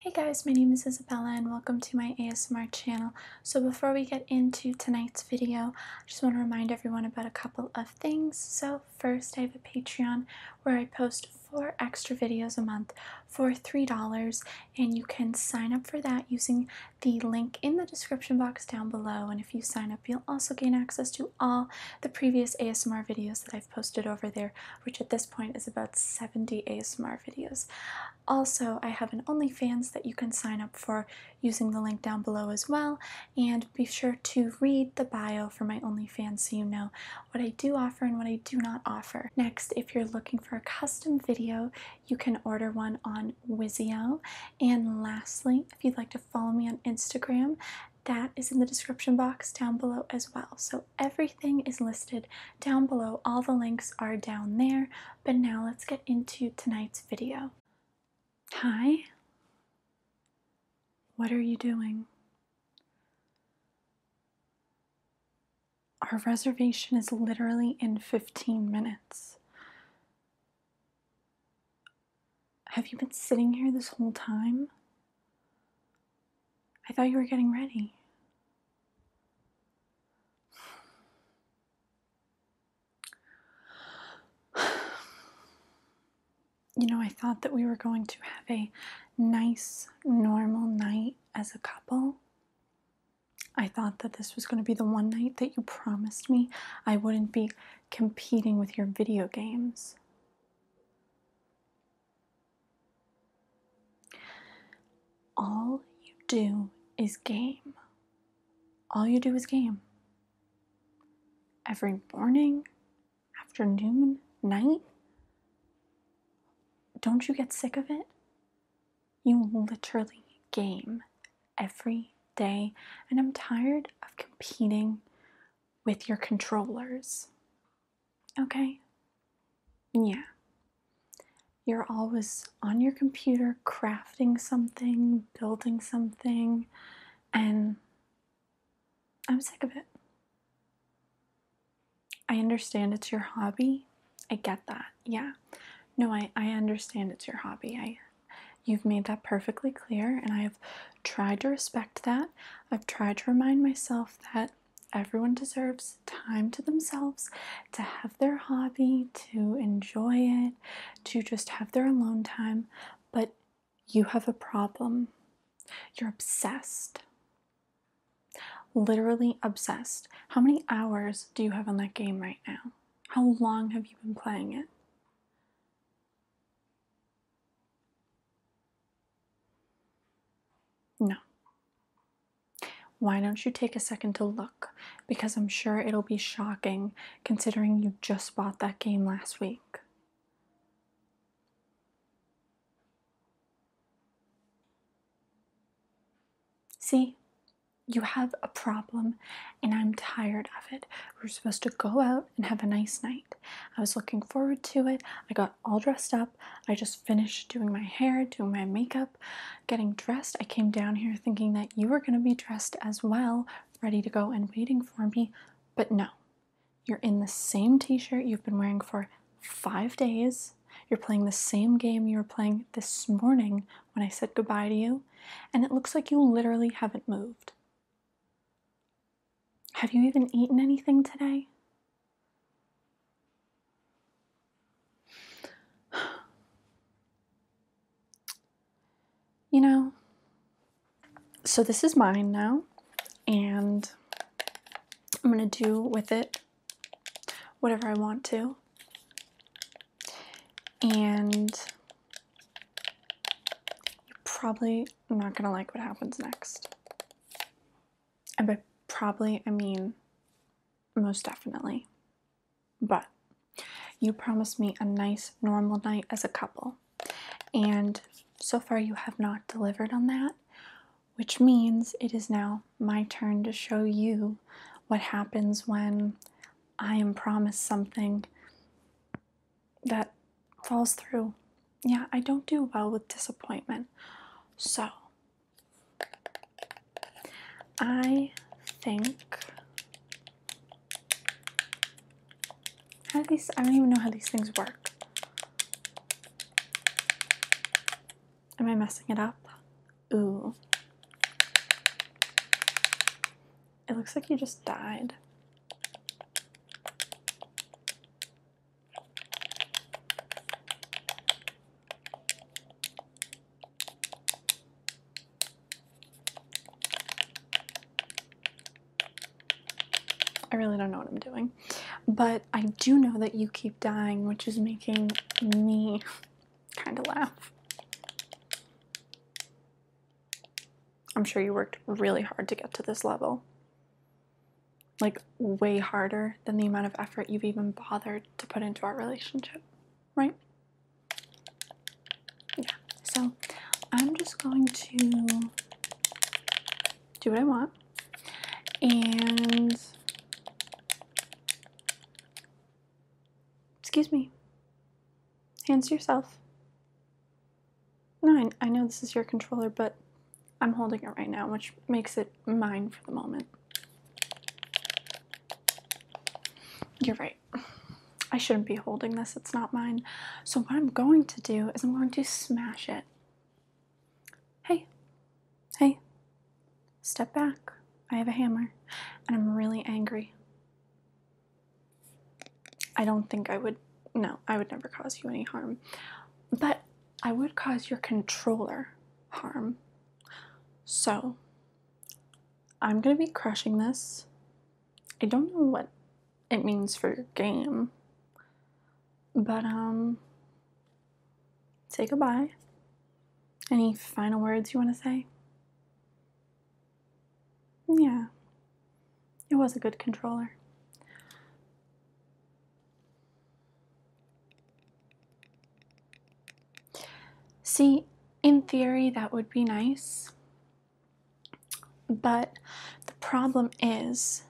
Hey guys, my name is Isabella and welcome to my ASMR channel. So before we get into tonight's video, I just want to remind everyone about a couple of things. So first, I have a Patreon where I post four extra videos a month for $3 and you can sign up for that using the link in the description box down below. And if you sign up, you'll also gain access to all the previous ASMR videos that I've posted over there, which at this point is about 70 ASMR videos. Also, I have an OnlyFans that you can sign up for using the link down below as well. And be sure to read the bio for my OnlyFans so you know what I do offer and what I do not offer. Next, if you're looking for a custom video, you can order one on Wizio. And lastly, if you'd like to follow me on Instagram, that is in the description box down below as well. So everything is listed down below. All the links are down there. But now let's get into tonight's video. Hi. What are you doing? Our reservation is literally in 15 minutes. Have you been sitting here this whole time? I thought you were getting ready. You know, I thought that we were going to have a nice, normal night as a couple. I thought that this was going to be the one night that you promised me I wouldn't be competing with your video games. All you do is game. All you do is game. Every morning, afternoon, night. Don't you get sick of it? You literally game every day, and I'm tired of competing with your controllers. Okay? Yeah. You're always on your computer crafting something, building something, and I'm sick of it. I understand it's your hobby. I get that. Yeah. No, I, I understand it's your hobby. I you've made that perfectly clear and I have tried to respect that. I've tried to remind myself that Everyone deserves time to themselves, to have their hobby, to enjoy it, to just have their alone time. But you have a problem. You're obsessed. Literally obsessed. How many hours do you have on that game right now? How long have you been playing it? No. Why don't you take a second to look? Because I'm sure it'll be shocking considering you just bought that game last week. See, you have a problem and I'm tired of it. We're supposed to go out and have a nice night. I was looking forward to it. I got all dressed up. I just finished doing my hair, doing my makeup, getting dressed. I came down here thinking that you were going to be dressed as well, ready to go and waiting for me, but no. You're in the same t shirt you've been wearing for five days. You're playing the same game you were playing this morning when I said goodbye to you, and it looks like you literally haven't moved. Have you even eaten anything today? You know, so this is mine now, and I'm gonna do with it whatever I want to. And you're probably not gonna like what happens next. And by probably, I mean most definitely. But you promised me a nice, normal night as a couple. And so far, you have not delivered on that, which means it is now my turn to show you what happens when I am promised something that falls through. Yeah, I don't do well with disappointment. So, I think. How these. I don't even know how these things work. Am I messing it up? Ooh. It looks like you just died. I really don't know what I'm doing, but I do know that you keep dying, which is making me kind of laugh. I'm sure you worked really hard to get to this level. Like, way harder than the amount of effort you've even bothered to put into our relationship, right? Yeah, so I'm just going to do what I want and excuse me, hands to yourself. No, I, I know this is your controller, but I'm holding it right now, which makes it mine for the moment. You're right. I shouldn't be holding this, it's not mine. So, what I'm going to do is I'm going to smash it. Hey, hey, step back. I have a hammer and I'm really angry. I don't think I would, no, I would never cause you any harm. But I would cause your controller harm. So, I'm going to be crushing this. I don't know what it means for your game. But, um, say goodbye. Any final words you want to say? Yeah, it was a good controller. See, in theory, that would be nice. But the problem is,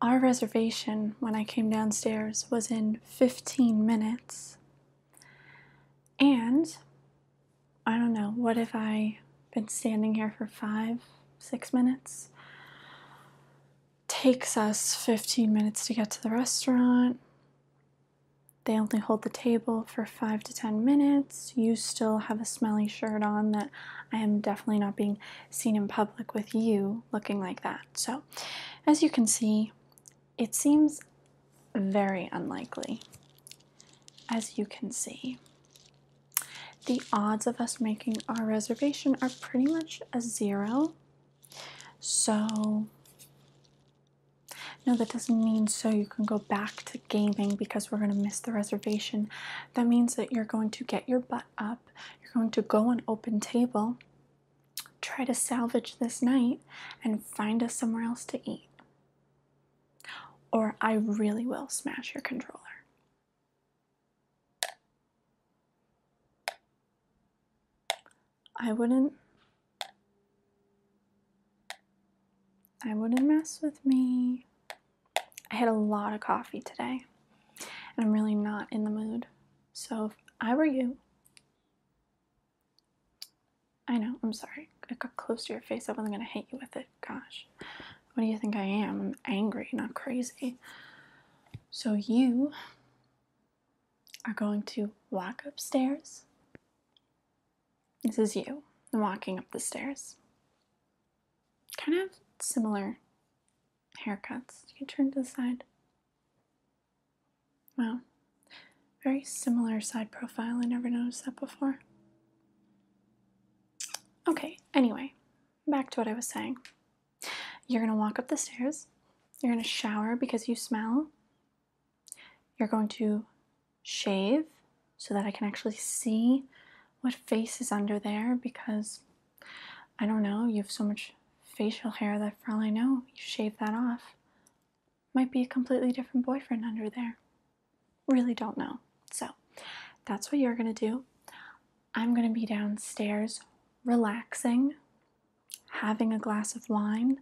our reservation when I came downstairs was in 15 minutes. And I don't know, what if I been standing here for five, six minutes? Takes us 15 minutes to get to the restaurant. They only hold the table for five to 10 minutes. You still have a smelly shirt on that I am definitely not being seen in public with you looking like that. So, as you can see, it seems very unlikely, as you can see the odds of us making our reservation are pretty much a zero. So, no, that doesn't mean so you can go back to gaming because we're going to miss the reservation. That means that you're going to get your butt up, you're going to go on open table, try to salvage this night, and find us somewhere else to eat or I really will smash your controller. I wouldn't I wouldn't mess with me. I had a lot of coffee today and I'm really not in the mood. So if I were you, I know, I'm sorry. I got close to your face. I wasn't going to hit you with it. Gosh. What do you think I am? I'm angry, not crazy. So you are going to walk upstairs. This is you walking up the stairs. Kind of similar haircuts. You turn to the side. Wow. Very similar side profile. I never noticed that before. Okay, anyway, back to what I was saying. You're going to walk up the stairs. You're going to shower because you smell. You're going to shave so that I can actually see what face is under there because I don't know, you have so much facial hair that for all I know, you shave that off. Might be a completely different boyfriend under there. Really don't know. So that's what you're going to do. I'm going to be downstairs relaxing, having a glass of wine,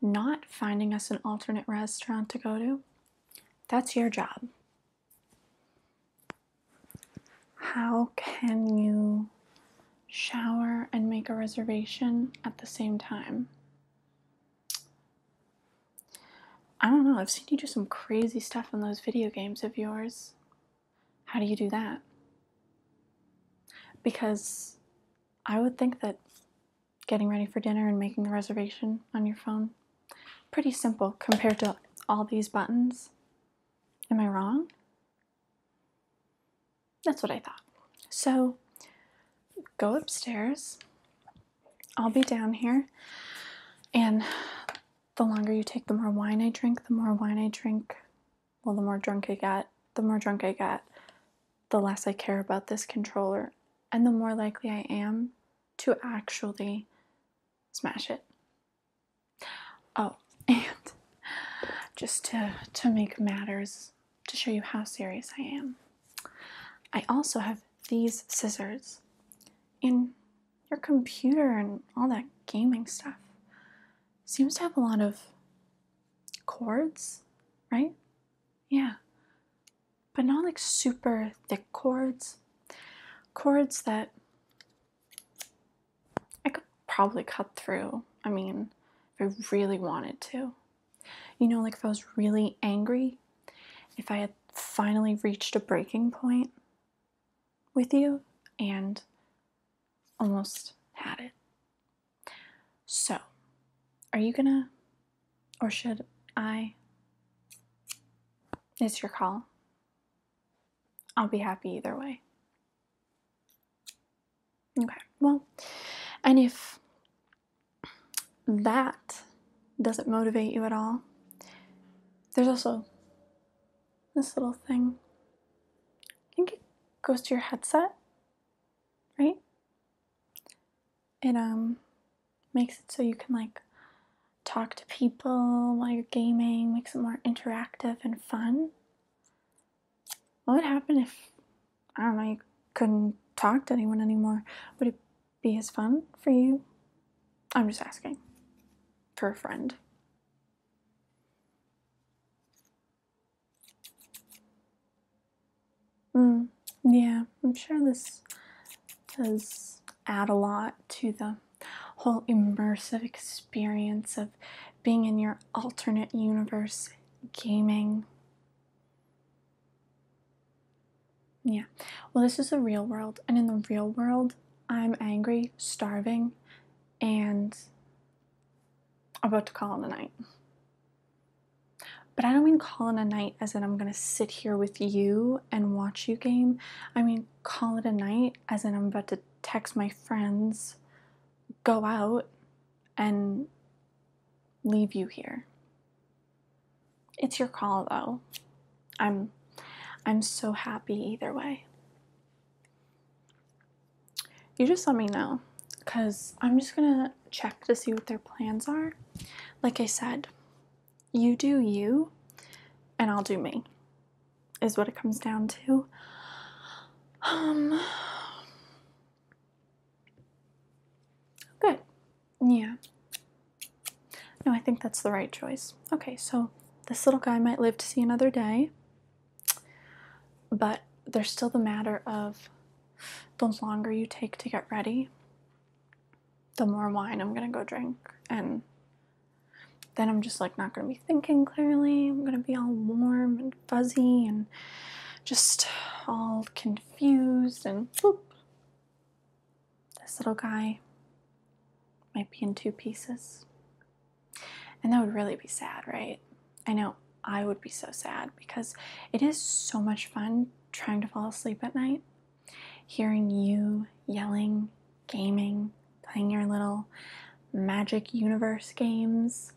not finding us an alternate restaurant to go to. That's your job. How can you shower and make a reservation at the same time? I don't know, I've seen you do some crazy stuff in those video games of yours. How do you do that? Because I would think that getting ready for dinner and making the reservation on your phone, pretty simple compared to all these buttons. Am I wrong? That's what I thought. So go upstairs, I'll be down here, and the longer you take, the more wine I drink, the more wine I drink, well, the more drunk I get, the more drunk I get, the less I care about this controller, and the more likely I am to actually smash it. Oh, and just to, to make matters to show you how serious I am. I also have these scissors and your computer and all that gaming stuff seems to have a lot of cords, right? Yeah. But not like super thick cords. Cords that I could probably cut through. I mean, if I really wanted to. You know, like if I was really angry, if I had finally reached a breaking point with you and almost had it. So, are you gonna, or should I? It's your call. I'll be happy either way. Okay, well, and if that doesn't motivate you at all, there's also this little thing. I think it goes to your headset, right? It um makes it so you can like talk to people while you're gaming, makes it more interactive and fun. What would happen if I don't know, you couldn't talk to anyone anymore, would it be as fun for you? I'm just asking. For a friend. Mm, yeah, I'm sure this does add a lot to the whole immersive experience of being in your alternate universe gaming. Yeah, well, this is the real world, and in the real world, I'm angry, starving, and about to call it a night. But I don't mean call it a night as in I'm gonna sit here with you and watch you game. I mean call it a night as in I'm about to text my friends, go out, and leave you here. It's your call though. I'm I'm so happy either way. You just let me know cuz I'm just going to check to see what their plans are. Like I said, you do you and I'll do me. Is what it comes down to. Um Good. Yeah. No, I think that's the right choice. Okay, so this little guy might live to see another day, but there's still the matter of the longer you take to get ready, the more wine I'm gonna go drink. And then I'm just like not gonna be thinking clearly. I'm gonna be all warm and fuzzy and just all confused and whoop. This little guy might be in two pieces. And that would really be sad, right? I know I would be so sad because it is so much fun trying to fall asleep at night, hearing you yelling, gaming, playing your little magic universe games.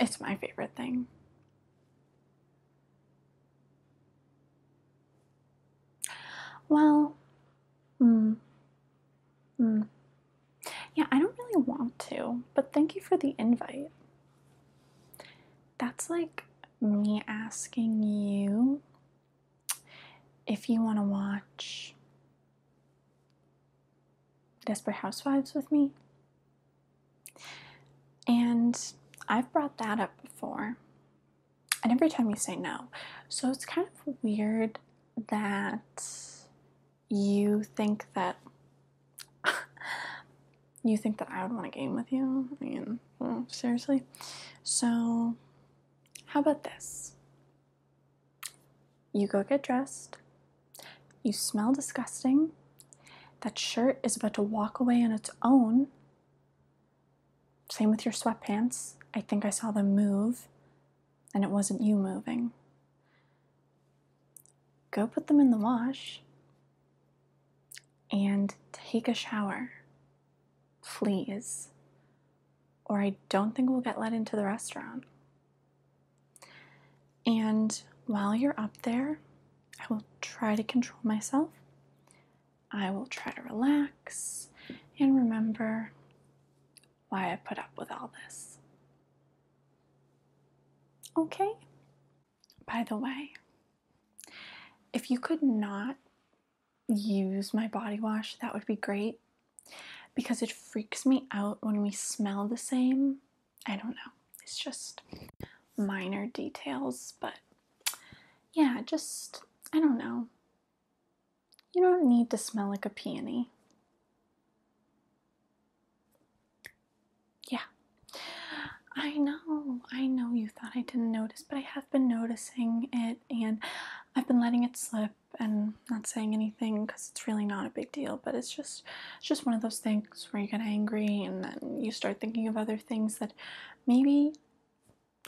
It's my favorite thing. Well, hmm. Hmm. Yeah, I don't really want to, but thank you for the invite. That's like me asking you if you want to watch Desperate Housewives with me. And I've brought that up before. And every time you say no. So it's kind of weird that you think that you think that I would want a game with you. I mean, seriously. So how about this? You go get dressed. You smell disgusting. That shirt is about to walk away on its own. Same with your sweatpants. I think I saw them move, and it wasn't you moving. Go put them in the wash and take a shower. Please or I don't think we'll get let into the restaurant. And while you're up there, I will try to control myself. I will try to relax and remember why I put up with all this. Okay? By the way, if you could not use my body wash, that would be great because it freaks me out when we smell the same. I don't know. It's just minor details, but yeah, just I don't know. You don't need to smell like a peony. Yeah. I know, I know you thought I didn't notice, but I have been noticing it and I've been letting it slip and not saying anything because it's really not a big deal but it's just just one of those things where you get angry and then you start thinking of other things that maybe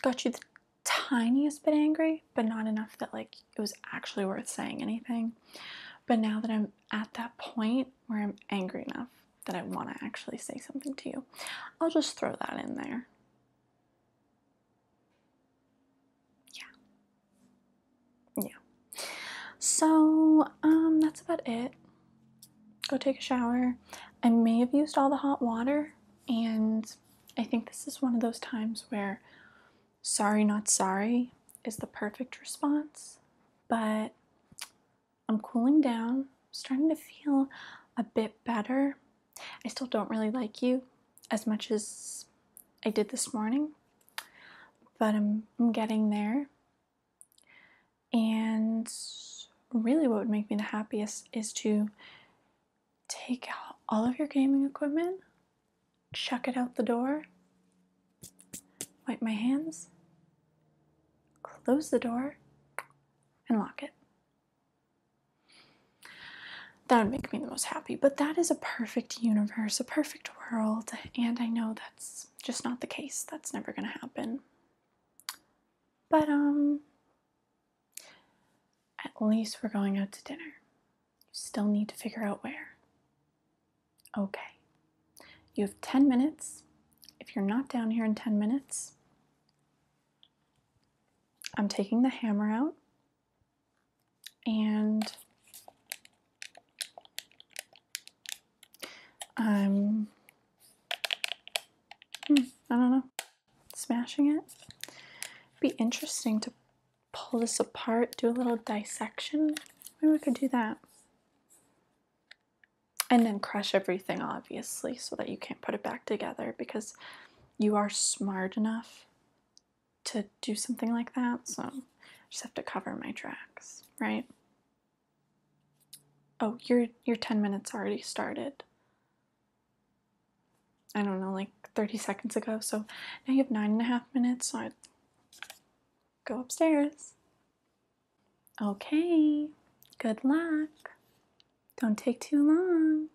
got you the tiniest bit angry but not enough that like it was actually worth saying anything but now that i'm at that point where i'm angry enough that i want to actually say something to you i'll just throw that in there yeah. Yeah. So, um, that's about it. Go take a shower. I may have used all the hot water, and I think this is one of those times where sorry, not sorry is the perfect response, but I'm cooling down, starting to feel a bit better. I still don't really like you as much as I did this morning, but I'm, I'm getting there. And really, what would make me the happiest is to take out all of your gaming equipment, chuck it out the door, wipe my hands, close the door, and lock it. That would make me the most happy, but that is a perfect universe, a perfect world, and I know that's just not the case. That's never going to happen. But, um, at least we're going out to dinner. You still need to figure out where. Okay. You have 10 minutes. If you're not down here in 10 minutes, I'm taking the hammer out and i hmm, I don't know, smashing it. Be interesting to pull this apart, do a little dissection. Maybe we could do that. And then crush everything, obviously, so that you can't put it back together because you are smart enough to do something like that, so I just have to cover my tracks, right? Oh, your your 10 minutes already started. I don't know, like 30 seconds ago, so now you have nine and a half minutes, so I go upstairs. Okay, good luck. Don't take too long.